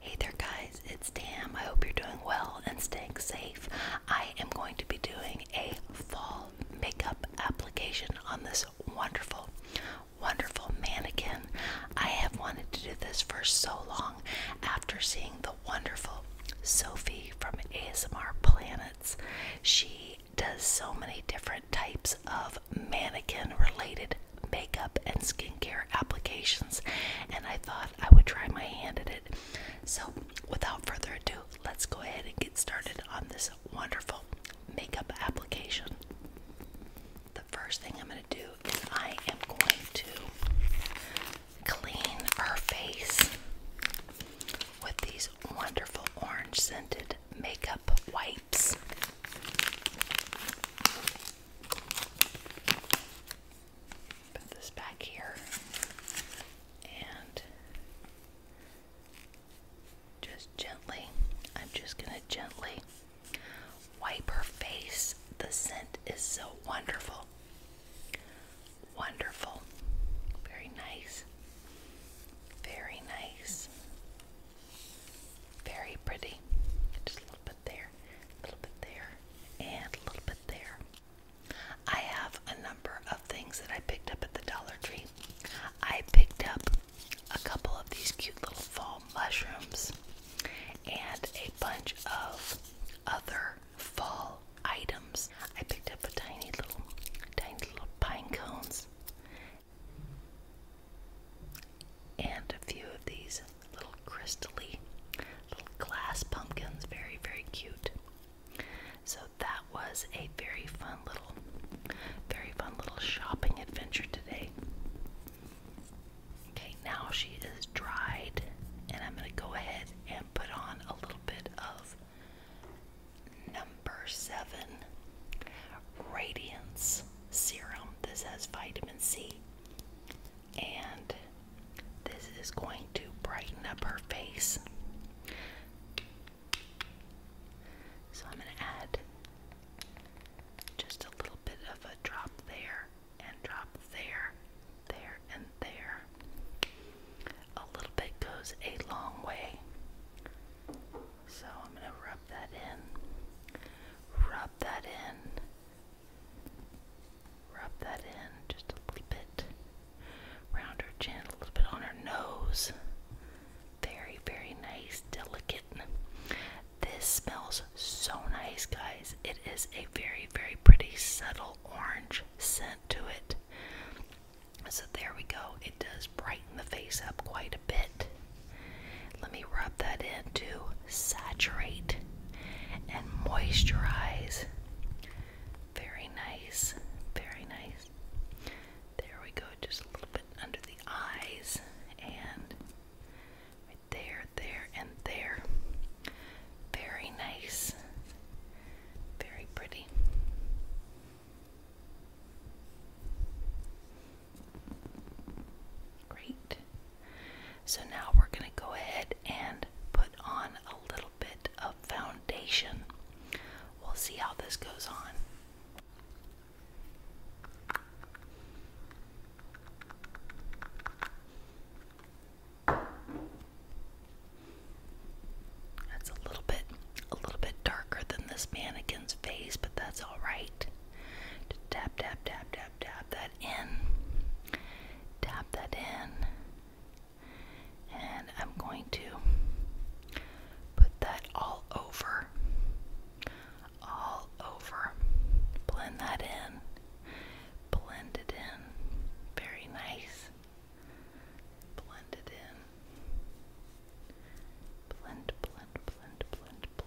Hey there guys, it's Tam. I hope you're doing well and staying safe. I am going to be doing a fall makeup application on this wonderful, wonderful mannequin. I have wanted to do this for so long after seeing the wonderful Sophie from ASMR Planets. She does so many different types of mannequin related makeup and skincare applications, and I thought I would try my hand at it. So, without further ado, let's go ahead and get started on this wonderful makeup application. The first thing I'm going to do is I am going to clean her face with these wonderful orange scented makeup wipes. Put this back here and just gently, I'm just going to gently wipe her face. The scent is so wonderful. Wonderful. Very nice. Very nice. Very pretty. Just a little bit there a little bit there, and a little bit there. I have a number of things that I picked up at the Dollar Tree. I picked up a couple of these cute little fall mushrooms and a bunch of other fall items. I picked up a tiny little, tiny little pine cones and a few of these little crystally little glass pumpkins. Very, very cute. So that was a very fun little very fun little shopping adventure today. Okay, now she is dried and I'm gonna go ahead and put on a little bit of number seven Radiance Serum. This has vitamin C and this is going to brighten up her face. So I'm going to add just a little bit of a drop there, and drop there, there, and there. A little bit goes a long way. So I'm going to rub that in, rub that in, Rub that in just a little bit. Round her chin, a little bit on her nose. Very, very nice, delicate. This smells so nice, guys. It is a very, very pretty, subtle orange scent to it. So, there we go. It does brighten the face up quite a bit. Let me rub that in to saturate and moisturize. Very nice, very nice. There we go, just a little bit under the eyes, and right there, there, and there. Very nice, very pretty. Great. So now we're going to go ahead and put on a little bit of foundation. We'll see how this goes on. That's a little bit a little bit darker than this mannequin's face, but that's all right. Just tap, tap, tap, tap, tap that in. Tap that in. And I'm going to put that all over. All over. Blend that in. Blend it in. Very nice. Blend it in. Blend, blend, blend, blend, blend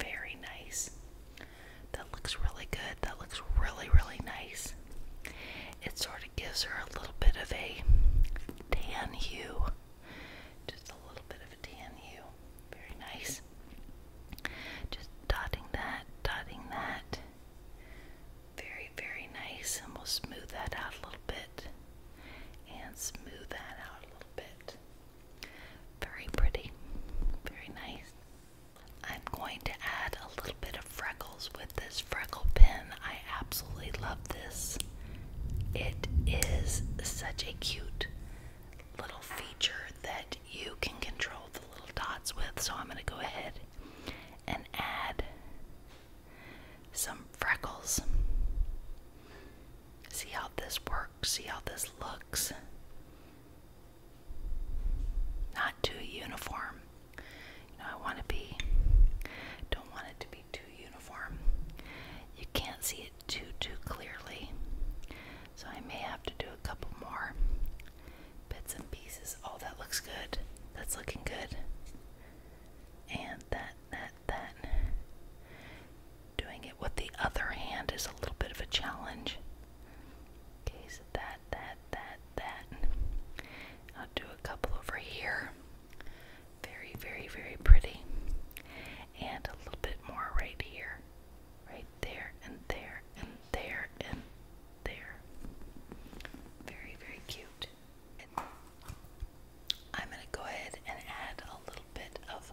Very nice. That looks really good. That looks really, really nice. It sort of gives her a little bit of a tan hue. Just a little bit of a tan hue. Very nice. Just dotting that, dotting that. Very, very nice. And we'll smooth that out a little bit. And smooth that out a little bit. Very pretty, very nice. I'm going to add a little bit of freckles with this freckle pen. I absolutely love this. It is such a cute little feature that you can control the little dots with. So I'm going to go ahead and add some freckles. See how this works, see how this looks. Not too uniform. You know, I want to be, don't want it to be too uniform. You can't see it too, too clearly. So I may have to do a couple more bits and pieces. Oh, that looks good. That's looking good. And that, that, that. Doing it with the other hand is a little bit of a challenge. Okay, so that, that, that, that. I'll do a couple over here. Very, very, very pretty. And a little bit more right here. Right there, and there, and there, and there. Very, very cute. I'm going to go ahead and add a little bit of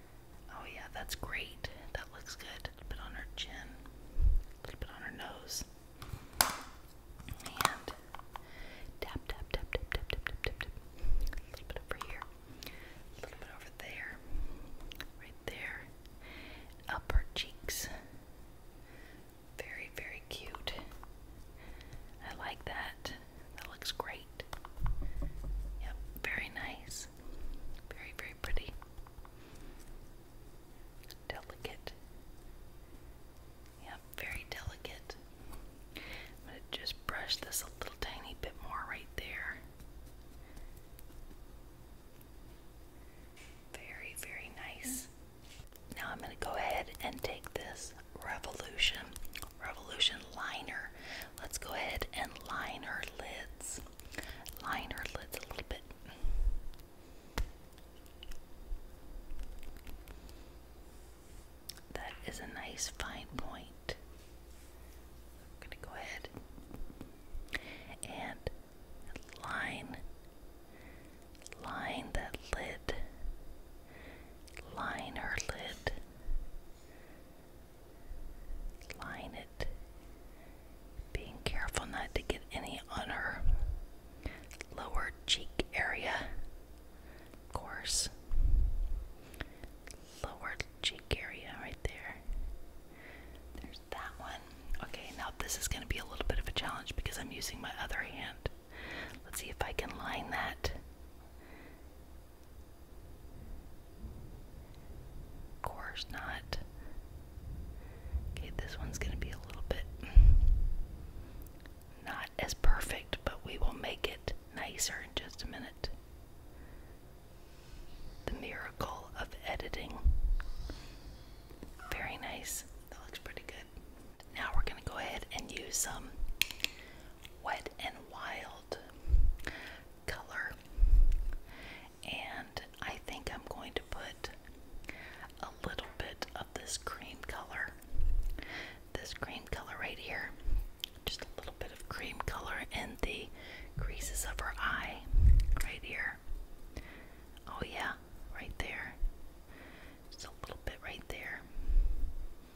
Oh yeah, that's great. That looks good. A little bit on her chin, a little bit on her nose. And tap, tap, tap, tap, tap, tap, tap, tap, A little bit over here. A little bit over there. Right there. Up her cheeks. Very, very cute. I like that. That looks great. Yep, very nice. Very, very pretty. Delicate. Yep, very delicate. I'm going to just brush this a little tiny bit more right there. Very, very nice. Now I'm going to go ahead and take this Revolution Revolution liner Let's go ahead and line her lids. Line her lids a little bit. That is a nice fine point. I'm going to go ahead and line line that lid. Line her lid. Line it, being careful not to get any on her lower cheek area. Of course, lower cheek area right there. There's that one. Okay, now this is going to be a little bit of a challenge because I'm using my other hand. Let's see if I can line that of course not. Okay, this one's going to be a little bit not as perfect, but we will make it nicer in just a minute. The miracle of editing. Very nice. That looks pretty good. Now we're going to go ahead and use some wet and wild Color. And I think I'm going to put a little bit of this cream color. This cream color right here. Just a little bit of cream color in the creases of her eye. Right here. Oh, yeah, right there. Just a little bit right there.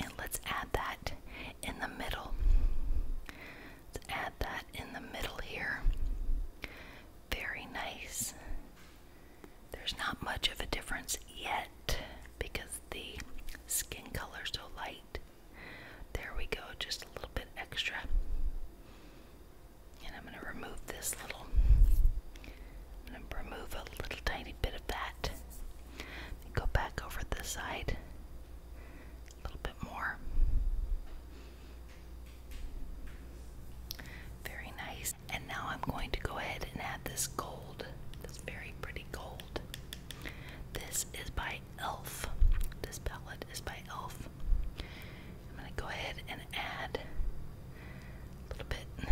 and let's add that in the middle. Let's add that in the middle here. Very nice. There's not much of a difference yet because the skin color's so light. There we go, just a little bit extra. And I'm going to remove this little, I'm going to remove a little tiny bit of that. Go back over this side a little bit more. Very nice. And now I'm going to go ahead and add this gold, this very pretty gold. This is by e.l.f. This palette is by e.l.f. I'm going to go ahead and add a little bit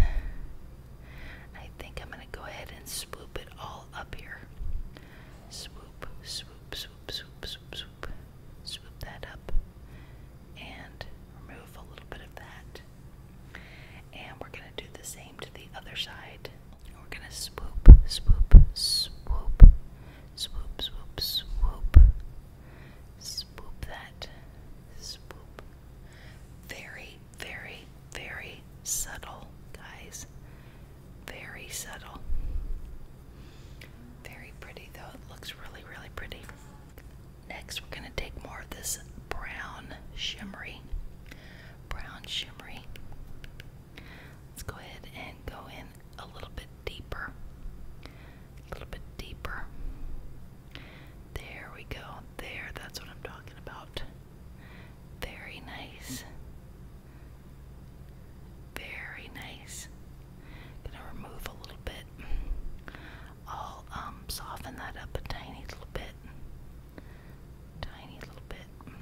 I think I'm going to go ahead and swoop it all up here. Swoop, swoop, swoop, swoop, swoop, swoop. Swoop that up and remove a little bit of that. And we're going to do the same to the other side. We're going to swoop, swoop, swoop, swoop, swoop, swoop, swoop that, swoop. Very very, very subtle, guys. Very subtle. Very pretty, though. looks really, really pretty. Next, we're going to take more of this brown shimmery. Brown shimmery. Let's go ahead and go in a little bit deeper. A little bit deeper. There we go. There, that's what I'm talking about. Very nice. Very nice. Gonna remove a little bit. I'll um, soften that up a tiny little bit. Tiny little bit.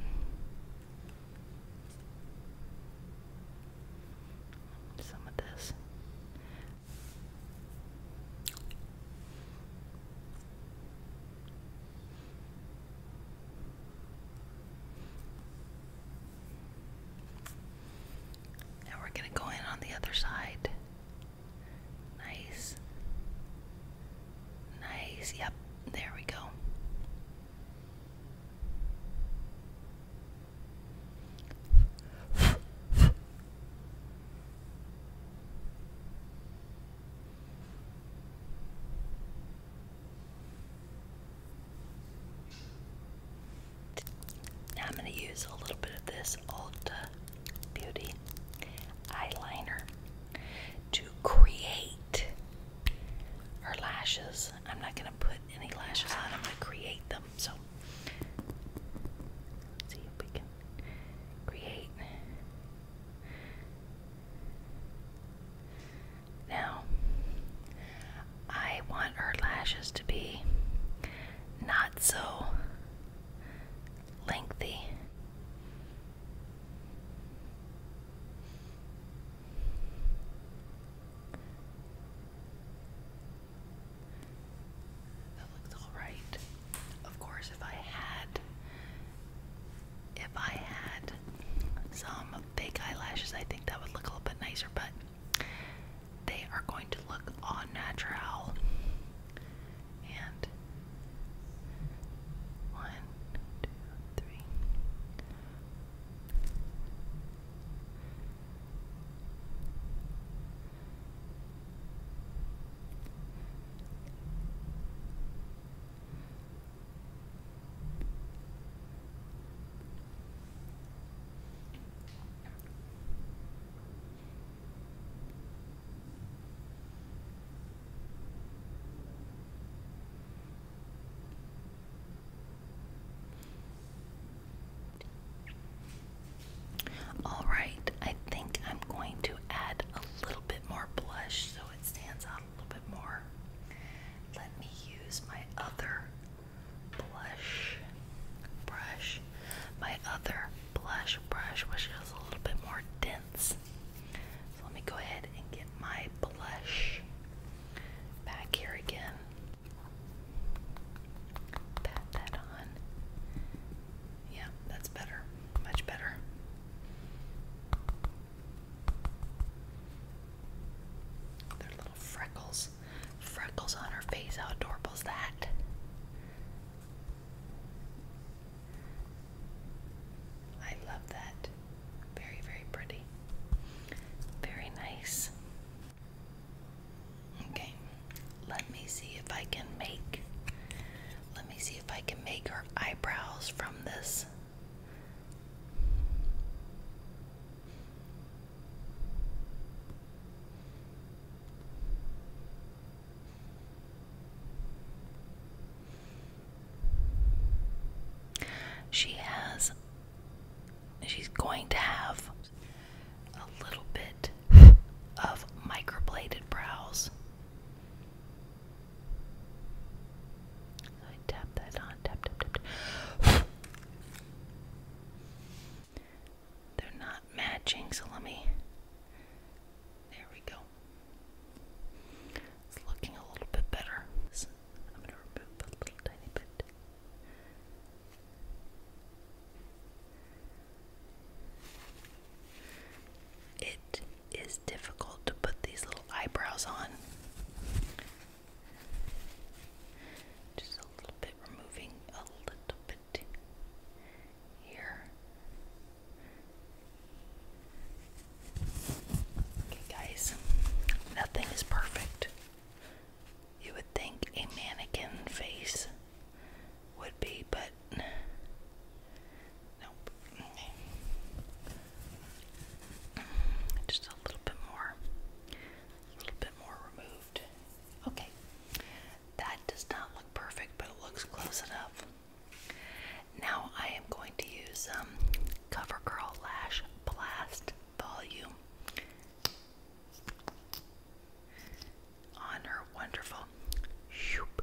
Some of this. Now we're going to go in on the other side. Nice. Nice. Yep. There we go. I'm going to use a little bit of this Ulta Beauty eyeliner to create our lashes. I'm not going to put any lashes on, I'm going to create them. So, see if we can create. Now, I want her lashes to be not so lengthy. That looks all right. Of course, if I had if I had some fake eyelashes, I think that would look a little bit nicer, but they are going to look unnatural. And one, two, three. All right, I think I'm going to add a little bit more blush so it stands out a little bit more. Let me use my other blush brush. My other blush brush, which is a little bit more dense. So let me go ahead and get my blush back here again. Pat that on. Yeah, that's better. Much better. There's little freckles. Freckles on her face. How adorable is that? I love that. Very, very pretty. Very nice. Okay, let me see if I can make let me see if I can make her eyebrows from this. She has, she's going to have a little bit of microbladed brows. I tap that on, tap, tap, tap. tap. They're not matching, so let me. There we go. It's looking a little bit better. I'm going to remove a little tiny bit. It is difficult to put these little eyebrows on. Just a little bit, removing a little bit here. Okay, guys, nothing is perfect. You would think a mannequin face would be, but nope. Just a little bit more, a little bit more removed. Okay, that does not look perfect, but it looks close enough. Now I am going to use um, CoverGirl Lash Blast Volume on her wonderful shoop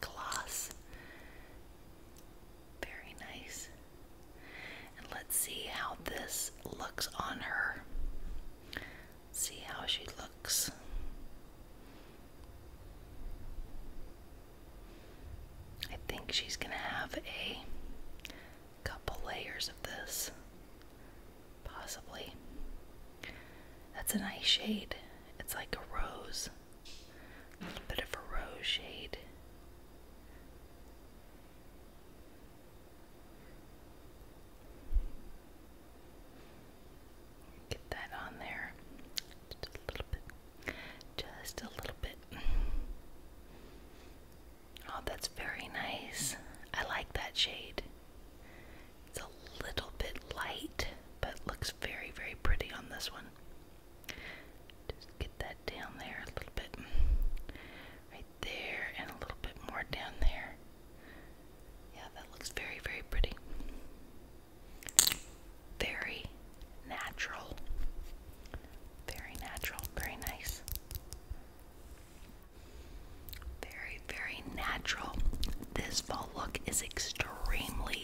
gloss. Very nice. And let's see how this looks on her. See how she looks. I think she's going to have a couple layers of this. Possibly. That's a nice shade. It's like a rose. A little bit of a rose shade. Get that on there. Just a little bit. Just a little bit. Oh, that's very nice. I like that shade. It's a little bit light but looks very, very pretty on this one. Just get that down there a little bit. Right there, and a little bit more down there. Yeah, that looks very, very pretty. Very natural. Very natural, very nice. Very, very natural. This fall look is extremely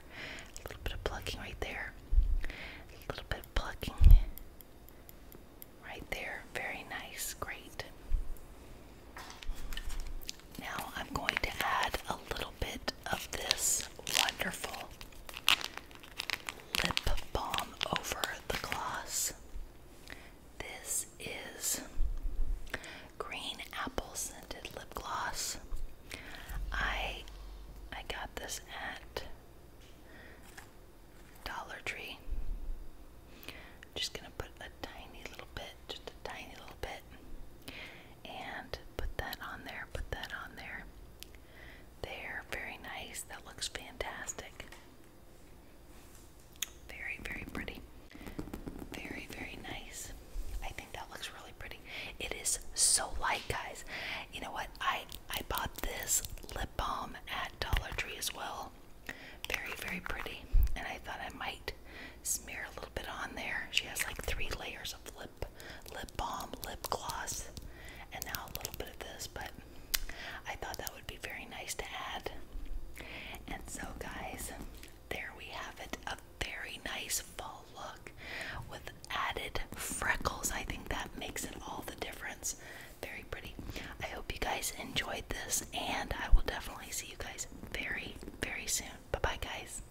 A little bit of plucking right there. A little bit of plucking right there. Very nice. Great. Now I'm going to add a little bit of this wonderful lip balm over the gloss. This is green apple scented lip gloss. I I got this at Dollar Tree. just gonna put a tiny little bit, just a tiny little bit, and put that on there, put that on there. There, very nice. That looks fantastic. Very, very pretty. Very, very nice. I think that looks really pretty. It is so light, guys. You know what? I I bought this lip balm at Dollar Tree as well. Very very pretty, and I thought I might smear a little bit on there. She has like three layers of lip lip balm, lip gloss, and now a little bit of this. But I thought that would be very nice to add. And so, guys, there we have it. A very nice fall look with added freckles. I think that makes it all the difference. Very pretty. I hope you guys enjoyed this, and I will definitely see you guys very, very soon. Bye bye, guys.